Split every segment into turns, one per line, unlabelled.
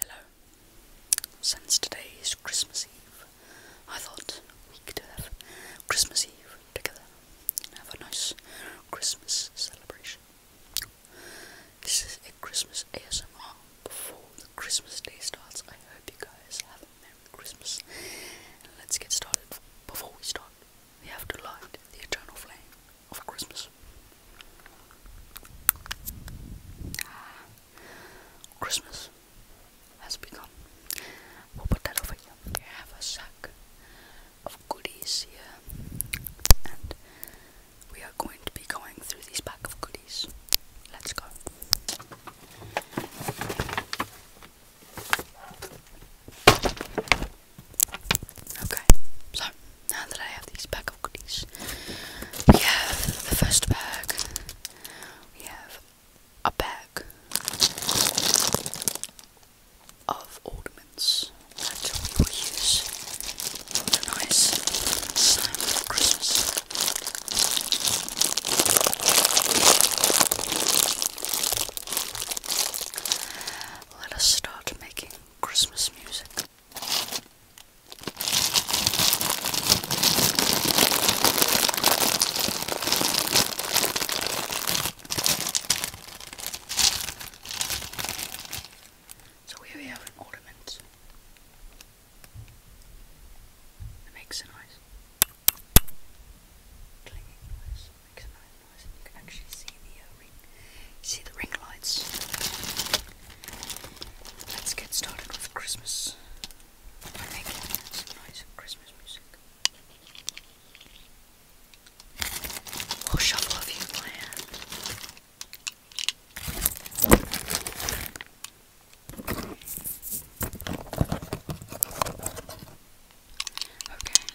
Hello. Since today is Christmas Eve, I thought we could have Christmas Eve together and have a nice Christmas celebration. This is a Christmas ASMR before the Christmas day starts. I hope you guys have a Merry Christmas let's get started. Before we start, we have to light the eternal flame of Christmas. Christmas has begun. We'll put that over here. We have a sack of goodies here, and we are going to be going through this pack of goodies. Let's go. Okay, so now that I have these pack of goodies. We have the first bag. We have a bag of ornaments that we will use for a nice time Christmas. Let us start making Christmas music. So here we have an ornament that makes a noise. Clinging noise makes a noise you can actually see the uh, ring, see the ring lights. Let's get started with Christmas. I make some nice Christmas music. I'll shovel a few Okay,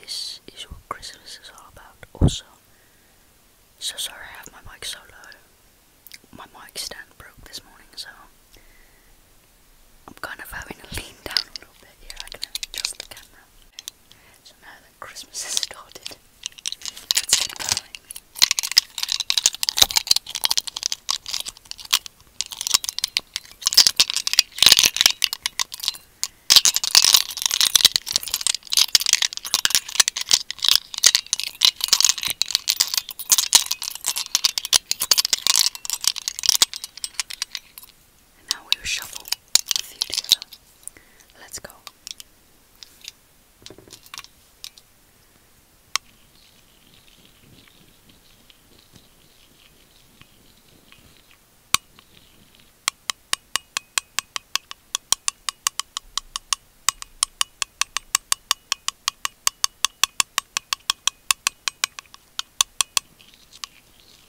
This is what Christmas is all about. Also, so sorry I have my mic so low. My mic stand broke this morning, so I'm kind of having to lean down a little bit here. I can adjust the camera. Christmas has started. Let's get and now we'll shuffle a few together. Let's go.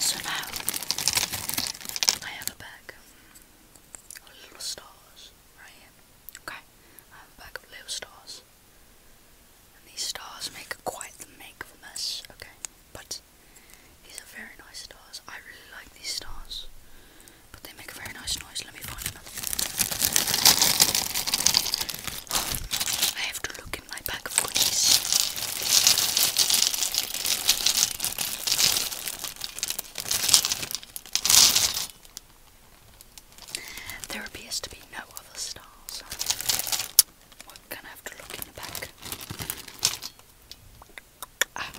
So now I have a bag of little stars right Okay, I have a bag of little stars, and these stars make quite the make of a mess. Okay, but these are very nice stars. I really like these stars but they make a very nice noise. Let me find another I have to look in my bag of goodies. There appears to be no other stars. We're gonna have to look in the back. Ah.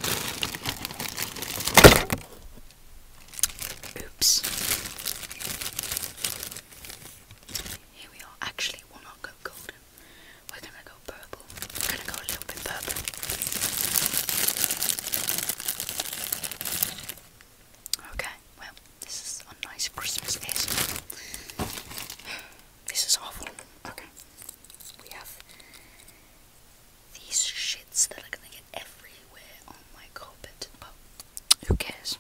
Oops. Here we are. Actually, we'll not go golden. We're gonna go purple. We're gonna go a little bit purple. Okay, well, this is a nice Christmas This is awful. Okay. We have these shits that are gonna get everywhere on oh my carpet, who cares?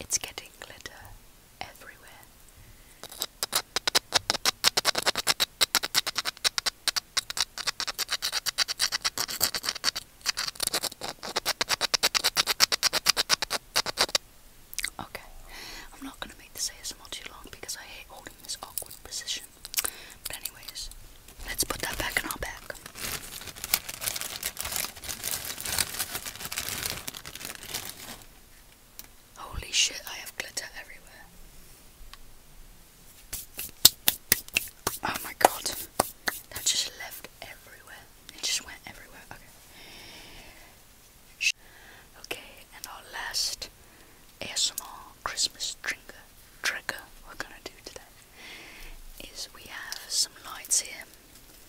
It's getting glitter everywhere. Okay, I'm not going to make this ASMR too long because I hate holding this awkward position. But anyways, let's put that back in our bag. Holy shit, I have glitter everywhere. Oh my god. That just left everywhere. It just went everywhere. Okay. Okay, and our last ASMR Christmas trigger trigger we're gonna do today is we have some lights here.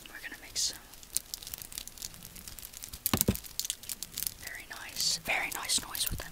We're gonna make some very nice, very nice noise with them.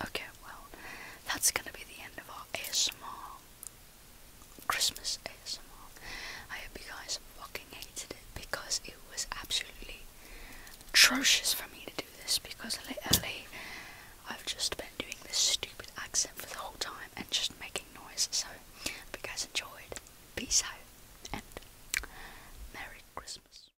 Okay, well, that's gonna be the end of our ASMR. Christmas ASMR. I hope you guys fucking hated it because it was absolutely atrocious for me to do this because literally, I've just been doing this stupid accent for the whole time and just making noise. So, if you guys enjoyed. Peace out and Merry Christmas.